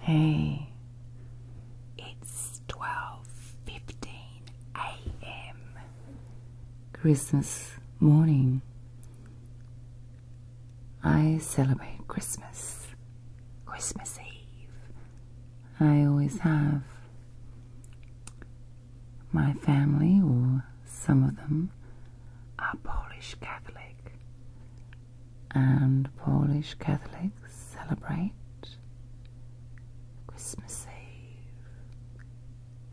Hey, it's 12:15 a.m. Christmas morning. I celebrate Christmas, Christmas Eve. I always have. My family, or some of them, are Polish Catholic and Polish Catholics celebrate Christmas Eve.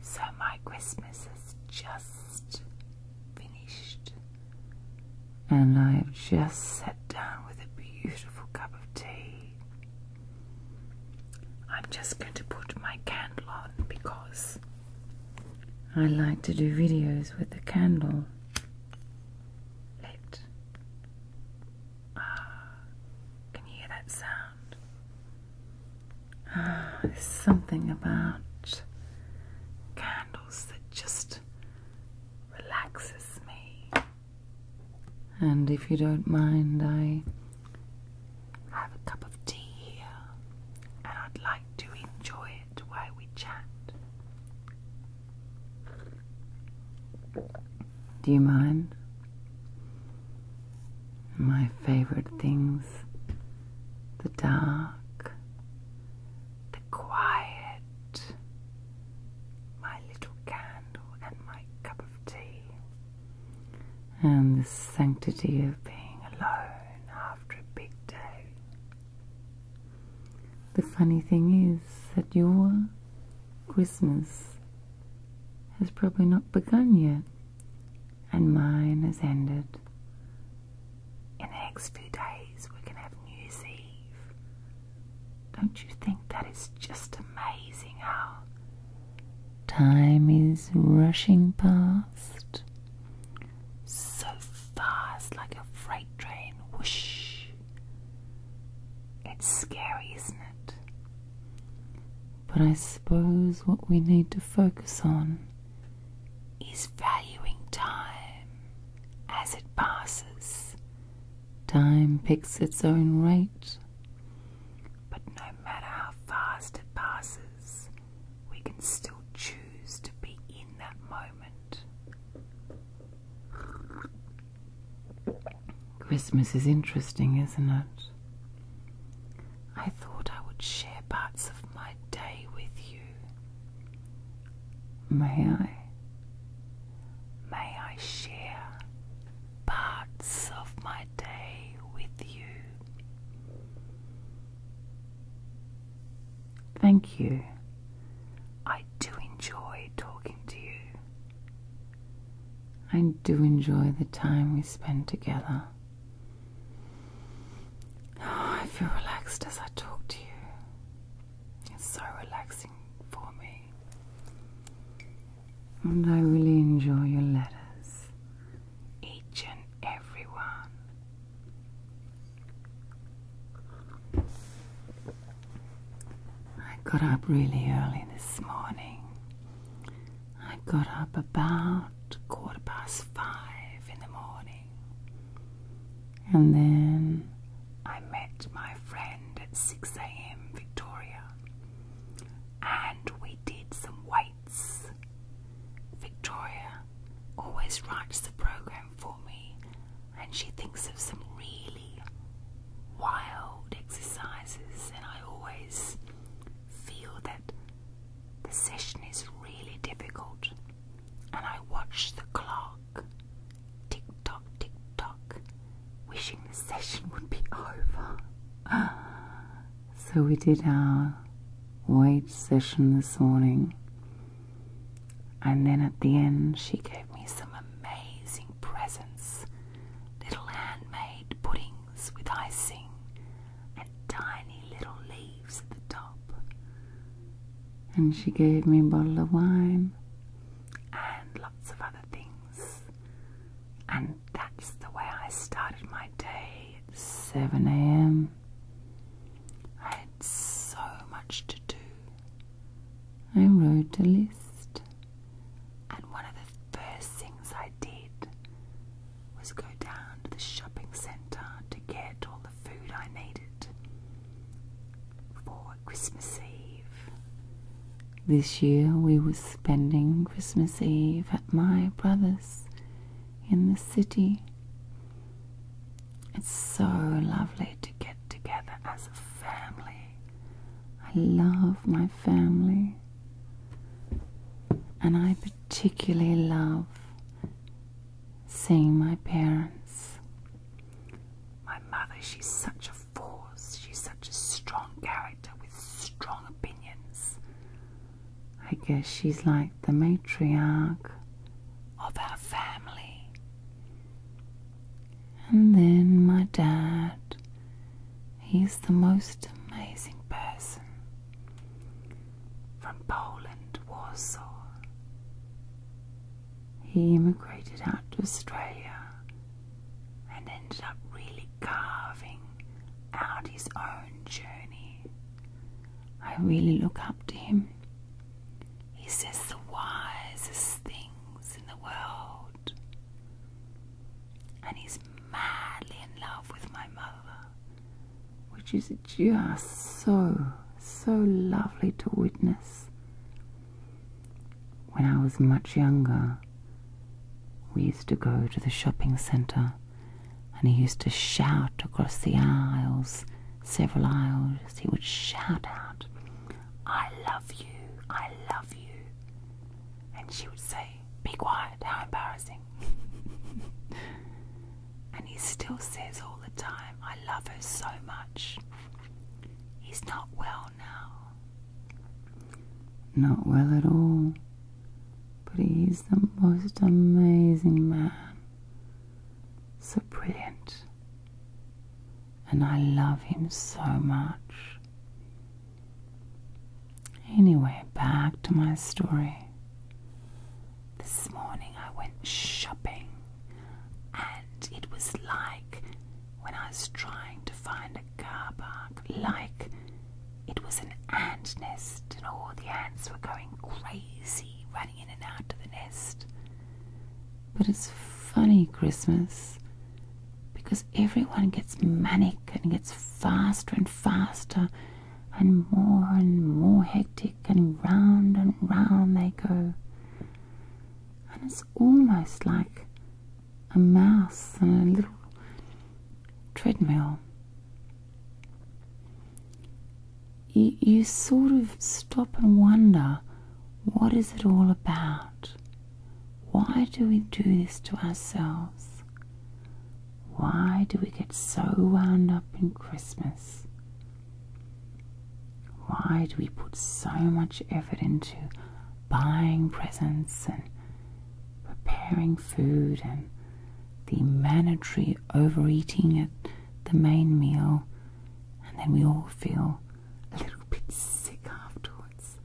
So my Christmas is just finished, and I have just sat down with a beautiful cup of tea. I'm just going to put my candle on because I like to do videos with a candle it. Ah, can you hear that sound? Ah, there's something about candles that just relaxes me. And if you don't mind, I have a cup of tea here, and I'd like to enjoy it. Why we chat. Do you mind? My favorite things the dark, the quiet, my little candle, and my cup of tea, and the sanctity of being alone after a big day. The funny thing is that your Christmas has probably not begun yet, and mine has ended. In the next few days, we're going to have New Year's Eve. Don't you think that is just amazing how time is rushing past? so fast, like a freight train. Whoosh. It's scary, isn't it? But I suppose what we need to focus on is valuing time as it passes. Time picks its own rate, but no matter how fast it passes, we can still choose to be in that moment Christmas is interesting, isn't it? I thought I would share parts of my day with you. May I? May I share parts of my day with you? Thank you. I do enjoy talking to you. I do enjoy the time we spend together. Oh, I feel relaxed as I talk to you. It's so relaxing for me. And I really enjoy your letters, each and every one. I got up really early this morning. I got up about quarter past five in the morning. And then I met my friend at 6 a.m. Victoria. And we did some weights. Victoria always writes the program for me, and she thinks of some really wild exercises, and I always feel that the session is really difficult. And I watch the clock tick tock, tick tock, wishing the session would be over. So we did our weight session this morning. And then at the end, she gave me some amazing presents little handmade puddings with icing and tiny little leaves at the top. And she gave me a bottle of wine and lots of other things. And that's the way I started my day 7 a.m. I had so much to do. I wrote a list, and one of the first things I did was go down to the shopping centre to get all the food I needed for Christmas Eve. This year we were spending Christmas Eve at my brother's in the city. It's so lovely to get together as a family. I love my family. And I particularly love seeing my parents. My mother, she's such a force. She's such a strong character with strong opinions. I guess she's like the matriarch of our family. And then my dad, he's the most amazing person from Poland, Warsaw. He immigrated out to Australia and ended up really carving out his own journey I really look up to him. He says the wisest things in the world. And he's madly in love with my mother, which is just so, so lovely to witness. When I was much younger, we used to go to the shopping centre and he used to shout across the aisles, several aisles, he would shout out, I love you, I love you. And she would say, Be quiet, how embarrassing. and he still says all the time, I love her so much. He's not well now. Not well at all. But he's the most amazing man. So brilliant. And I love him so much. Anyway, back to my story. This morning I went shopping, and it was like when I was trying to find a car park, like it was an ant nest, and all the ants were going crazy, running in and out of the nest. But it's funny, Christmas, because everyone gets manic and gets faster and faster, and more and more hectic, and round and round they go. And it's almost like a mouse on a little treadmill you, sort of stop and wonder what is it all about? Why do we do this to ourselves? Why do we get so wound up in Christmas? Why do we put so much effort into buying presents and preparing food and the mandatory overeating at the main meal, and then we all feel a little bit sick afterwards.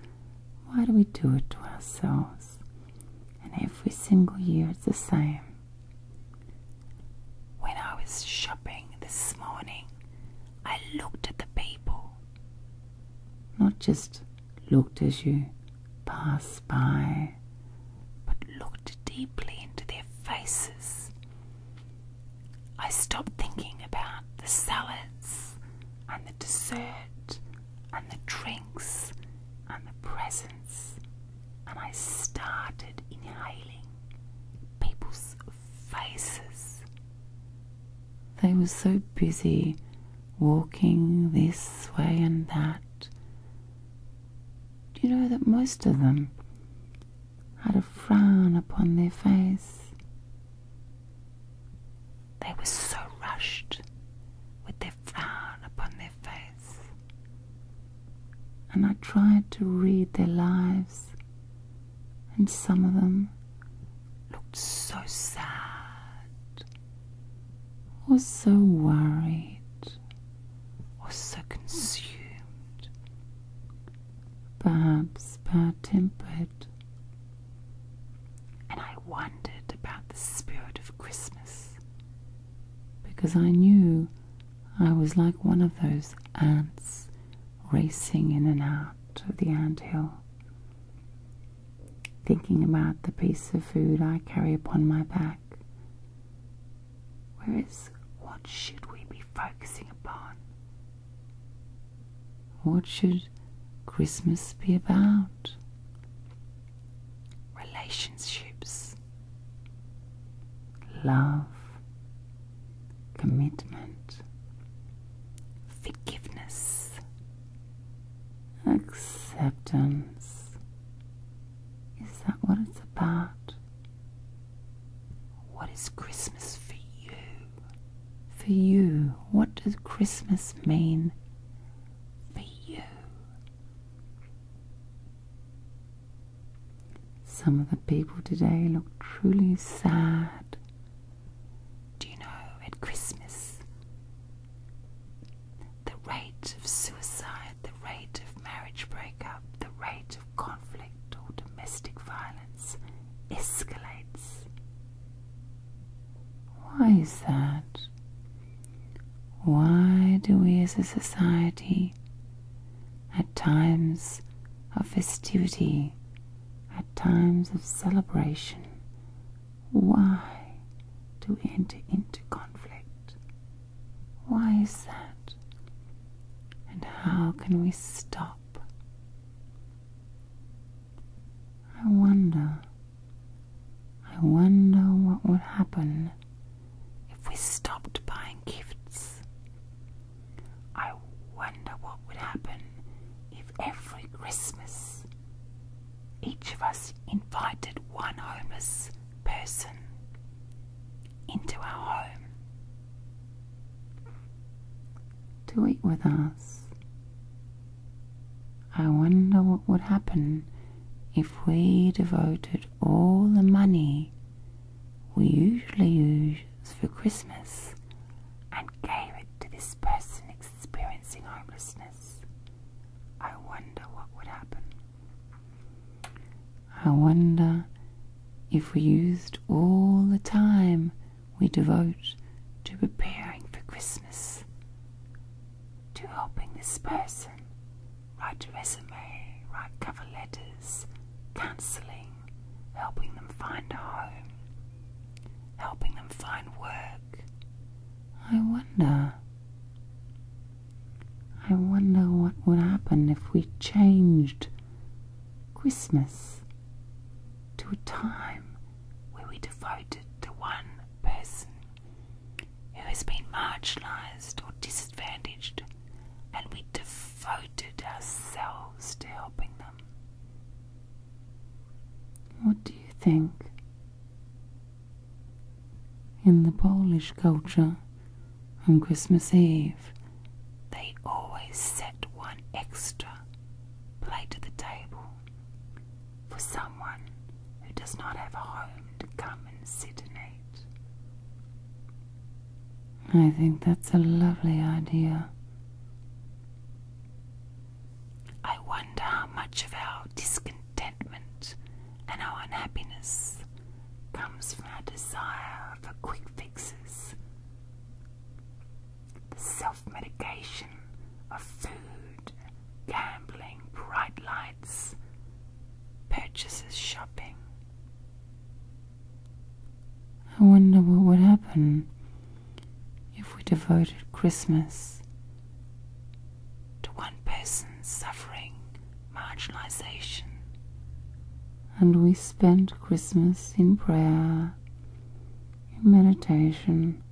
Why do we do it to ourselves? And every single year it's the same. When I was shopping this morning, I looked at the people. Not just looked as you pass by, but looked deeply into their faces. I stopped thinking about the salads and the dessert and the drinks and the presents, and I started inhaling people's faces. They were so busy walking this way and that do you know that most of them had a frown upon their face? They were so rushed with their frown upon their face. And I tried to read their lives, and some of them looked so sad was so worried, was so consumed, perhaps bad tempered. And I wondered about the spirit of Christmas because I knew I was like one of those ants racing in and out of the ant hill, thinking about the piece of food I carry upon my back. Whereas, what should we be focusing upon? What should Christmas be about? Relationships, love, commitment, forgiveness, Acceptance. Is that what it's about? What is Christmas for you? For you, what does Christmas mean for you? Some of the people today look truly sad. Do you know at Christmas the rate of suicide, the rate of marriage breakup, the rate of conflict or domestic violence escalates. Why is that? Why do we as a society, at times of festivity, at times of celebration, why to enter into conflict? Why is that? And how can we stop? I wonder, I wonder what would happen if we stopped buying gifts. I wonder what would happen if every Christmas each of us invited one homeless person into our home to eat with us. I wonder what would happen if we devoted all the money we usually use for Christmas and gave it to this person experiencing homelessness. I wonder what would happen. I wonder if we used all the time we devote to preparing for Christmas to helping this person write a resume, write cover letters, counseling, helping them find a home, helping them find work, I wonder. I wonder what would happen if we changed Christmas to a time where we devoted to one person who has been marginalized or disadvantaged and we devoted ourselves to helping them. What do you think? In the Polish culture, on Christmas Eve, they always set one extra plate at the table for someone who does not have a home to come and sit and eat. I think that's a lovely idea. I wonder how much of our discontentment and our unhappiness comes from our desire for quick fixes. The self medication of food, gambling, bright lights, purchases, shopping. I wonder what would happen if we devoted Christmas to one person's suffering marginalization. And we spent Christmas in prayer, in meditation,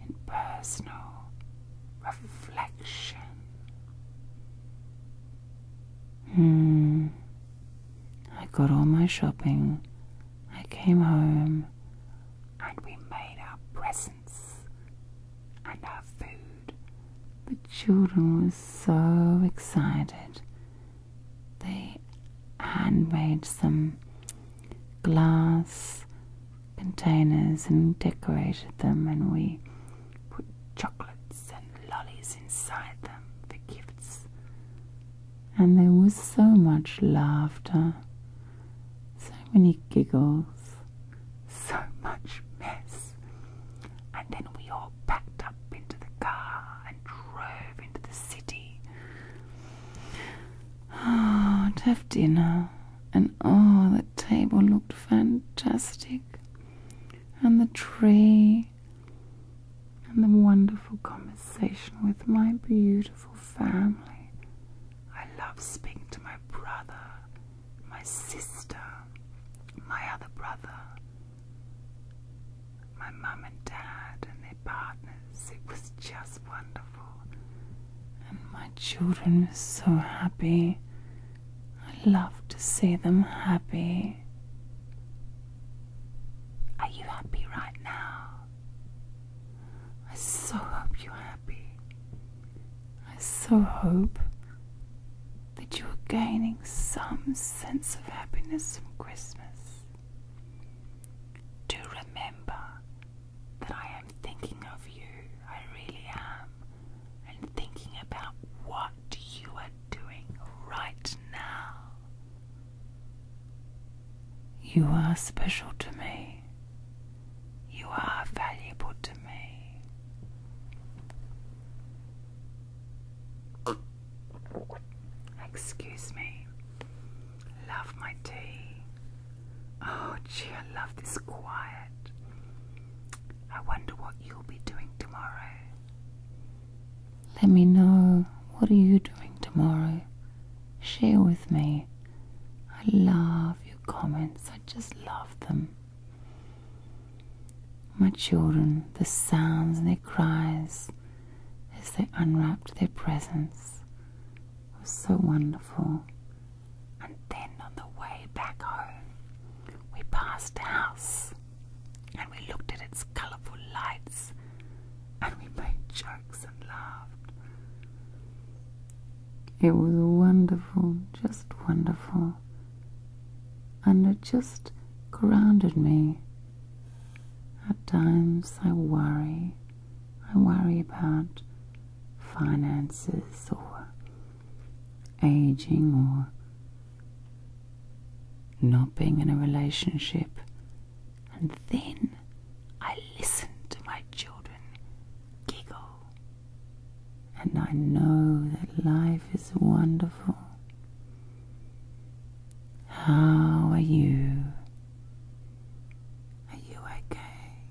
in personal reflection. Hmm. I got all my shopping I came home and we made our presents and our food. The children were so excited. They handmade some glass containers and decorated them, and we put chocolates and lollies inside them for gifts. And there was so much laughter so many giggles, so much mess. And then we all packed up into the car and drove into the city. Oh, to have dinner, and oh, the table looked fantastic, and the tree, and the wonderful conversation with my beautiful family. I love speaking to my brother, my sister, my other brother, my mum and dad and their partners. It was just wonderful. And my children were so happy. I love to see them happy. Are you happy right now? I so hope you're happy. I so hope that you are gaining some sense of happiness from Christmas. Do remember that I am thinking of you. I really am. And thinking about what you are doing right now. You are special to me. You are valuable to me. Excuse me. Love my tea. Oh, gee, I love this quiet. I wonder what you'll be doing tomorrow. Let me know. What are you doing tomorrow? Share with me. I love your comments, I just love them. My children, the sounds and their cries as they unwrapped their presents was so wonderful. And then on the way back home, we passed a house and we looked at its colourful lights and we made jokes and laughed. It was wonderful, just wonderful. And it just grounded me. At times I worry. I worry about finances or aging or not being in a relationship and then I listen to my children giggle. And I know that life is wonderful. How are you? Are you okay?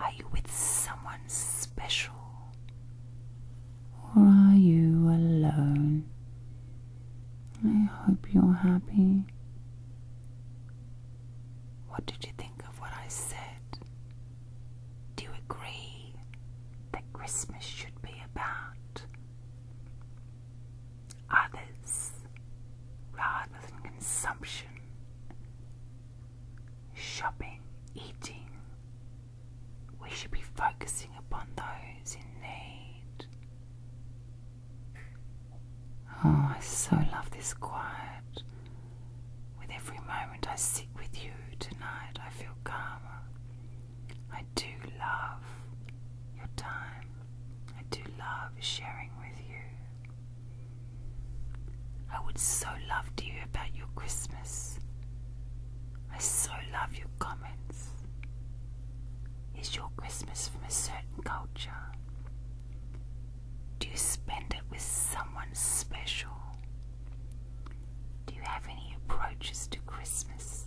Are you with someone special? Or are you alone I hope you're happy. What did you think of what I said? Do you agree that Christmas should be about others rather than consumption, shopping, eating? We should be focusing upon those in need. Oh, I so love this quiet. With every moment I sit with you tonight, I feel calmer. I do love your time. I do love sharing with you. I would so love to hear about your Christmas. I so love your comments. Is your Christmas from a certain culture? Do you spend it with someone special? Do you have any approaches to Christmas?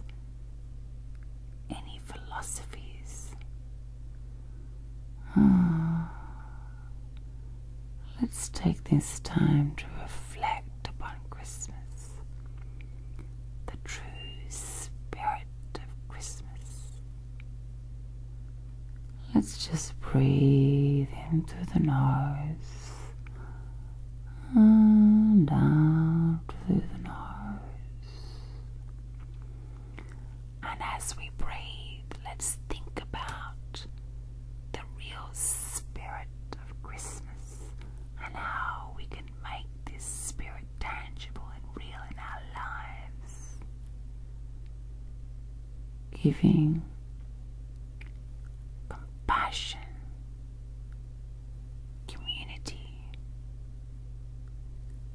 Any philosophies? Oh. Let's take this time to reflect upon Christmas the true spirit of Christmas. Let's just breathe in through the nose and out through the nose. And as we breathe, let's think about the real spirit of Christmas and how we can make this spirit tangible and real in our lives. Giving compassion, community.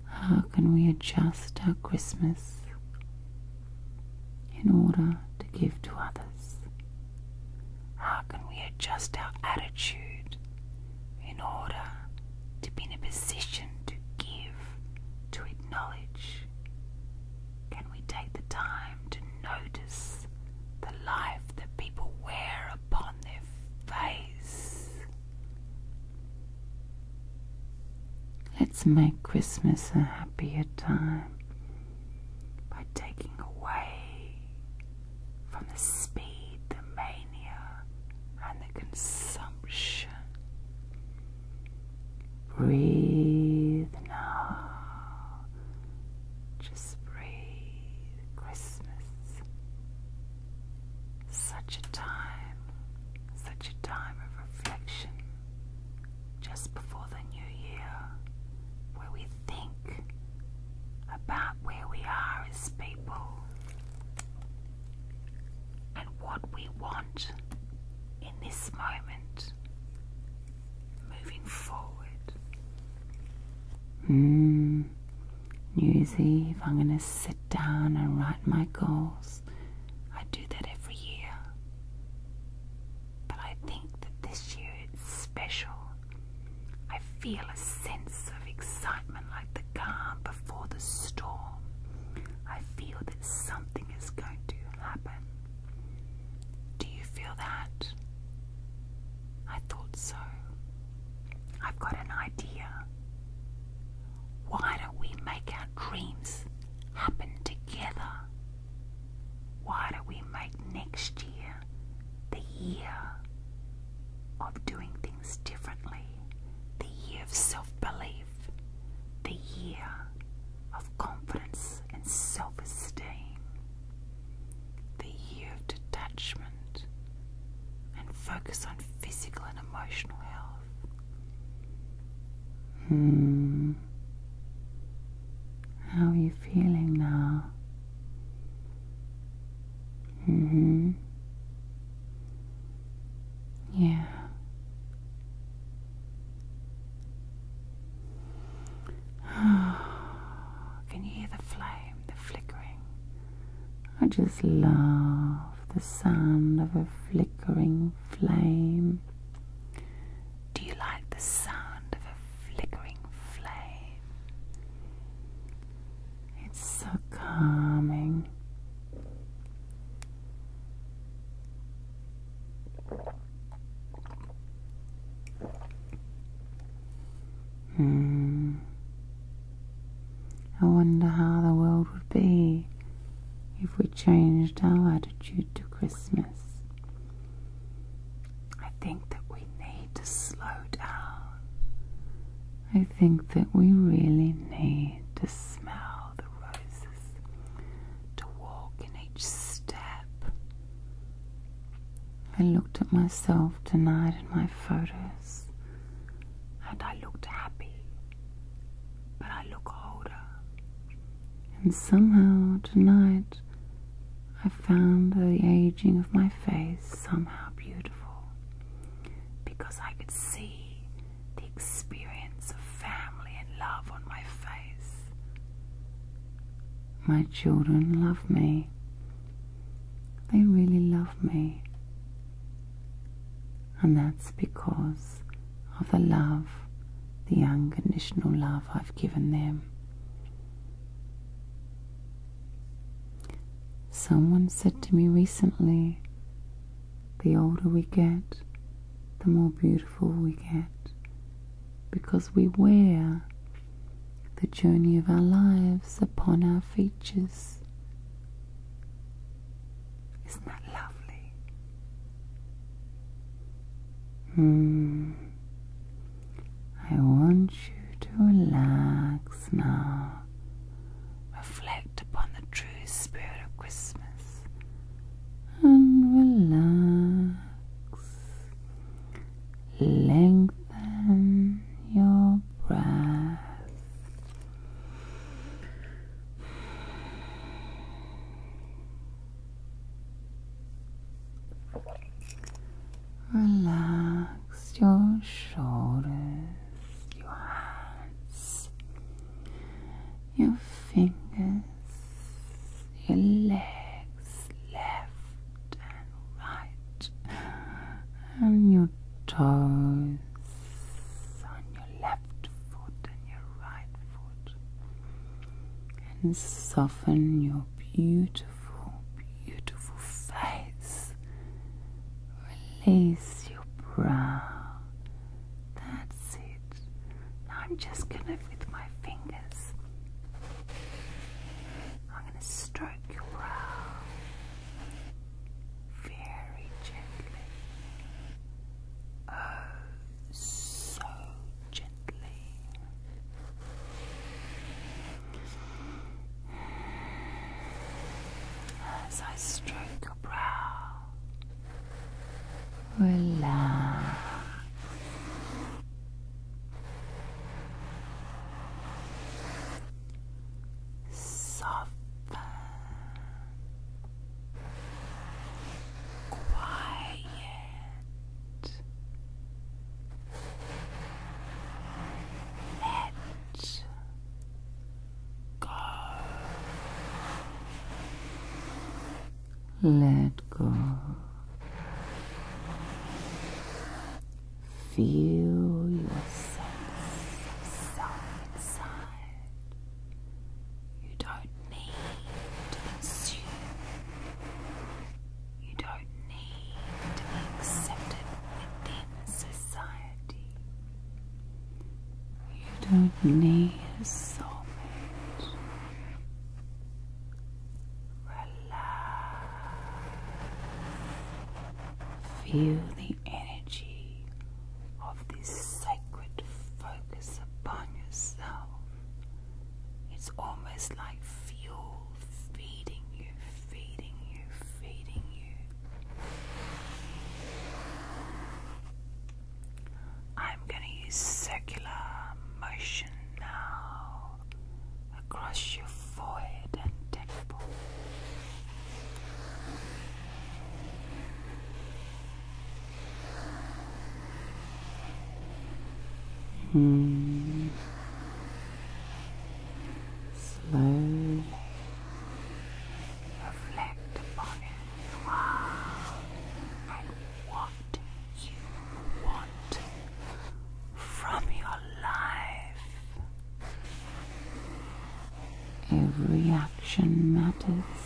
How can we adjust our Christmas in order to give to others? How can we adjust our attitude in order to be in a position to give, to acknowledge? Can we take the time to notice the life that people wear upon their face? Let's make Christmas a happier time by taking away from the speed, the mania, and the consumption. Breathe now. Just breathe. Christmas. Such a time, such a time of reflection just before the new year where we think about where we are as people and what we want in this moment moving forward. New Year's Eve, I'm going to sit down and write my goals. I do that every year. But I think that this year it's special I feel a sense of excitement like the calm before the storm. I feel that something is going to happen. Do you feel that? I thought so. I've got an idea. Why don't we make our dreams happen together? Why don't we make next year the year of doing things differently, the year of self belief, the year of confidence and self esteem, the year of detachment and focus on physical and emotional health. Hmm. How are you feeling now? hmm. Yeah. Can you hear the flame, the flickering? I just love the sound of a flickering flame. Do you like the sound of a flickering flame? It's so calming. Hmm. I wonder how the world would be if we changed our attitude to Christmas. I think that we need to slow down. I think that we really need to smell the roses, to walk in each step. I looked at myself tonight in my photos, and I looked happy, but I look older. And somehow tonight I found the aging of my face somehow beautiful because I could see the experience of family and love on my face. My children love me. They really love me. And that's because of the love, the unconditional love I've given them. Someone said to me recently, the older we get, the more beautiful we get, because we wear the journey of our lives upon our features. Isn't that lovely? Hmm. I want you to relax now. Reflect upon the true spirit of Christmas and relax. Lengthen your breath. Relax your shoulders, your hands, your fingers, your legs, left and right, and your toes. On your left foot and your right foot, and soften your beautiful beautiful, beautiful face. Release your brow. That's it. I'm just going to, with my fingers, I'm going to stroke your brow very gently. Oh, so gently gently. As I stroke your brow, relax. Soften, quiet, let go. Let go. Feel your inside. You don't need to consume you don't need to be accepted within society. You don't need a soulmate. Relax. Feel the energy of this sacred focus upon yourself. It's almost like fuel feeding you, feeding you, feeding you. I'm going to use circular motion now across your forehead and temple. Mm. Slowly reflect upon it. Wow. And what you want from your life. Every action matters,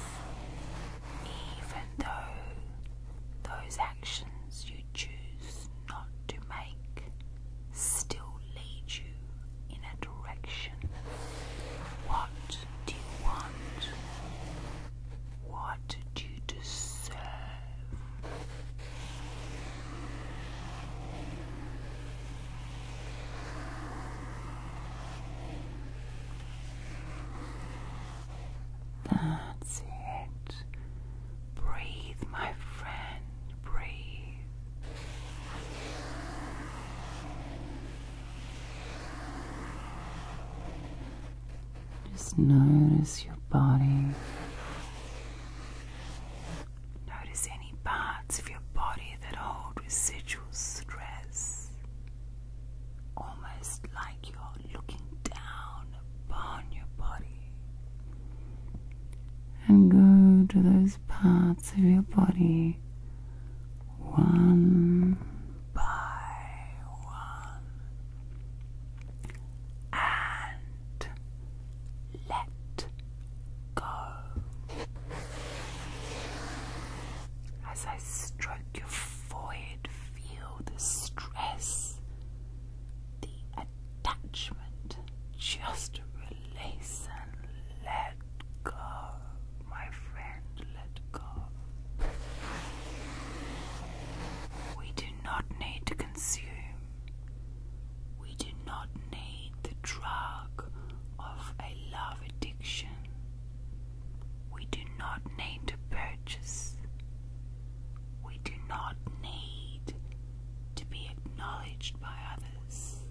even though those actions you choose not to make still lead you in a direction. What do you want? What do you deserve? That's it. Breathe, my friend, breathe. Just notice your body. Notice any parts of your body that hold residual stress, almost like you are looking down upon your body. And go to those parts of your body one by one and let go. As I stroke your forehead feel the stress, the attachment. Just release and let go, my friend, let go. We do not need to consume. We do not need the drug of a love addiction. We do not need to purchase. We do not need to be acknowledged by others.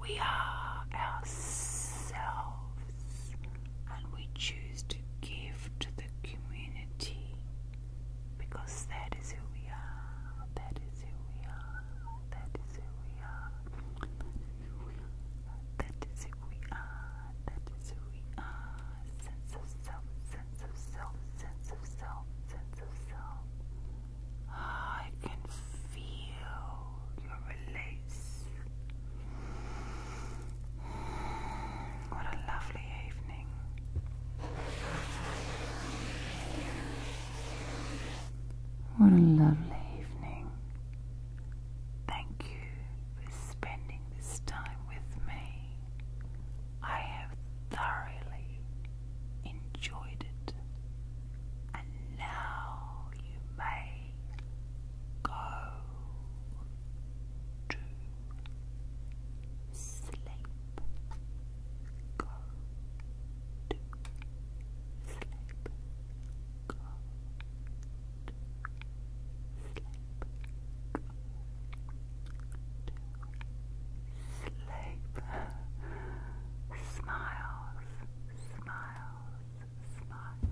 We are ourselves and we choose to give to the community because that is who we are. That is who we are. That is who we are. That is who we are. Sense of self, sense of self, sense of self, sense of self. I can feel your release. What a lovely evening. What a lovely evening. Thank you for spending this time with me. I have thoroughly enjoyed it, and now you may go to sleep. Go to sleep good sleep, sleep, smiles, smiles, smiles.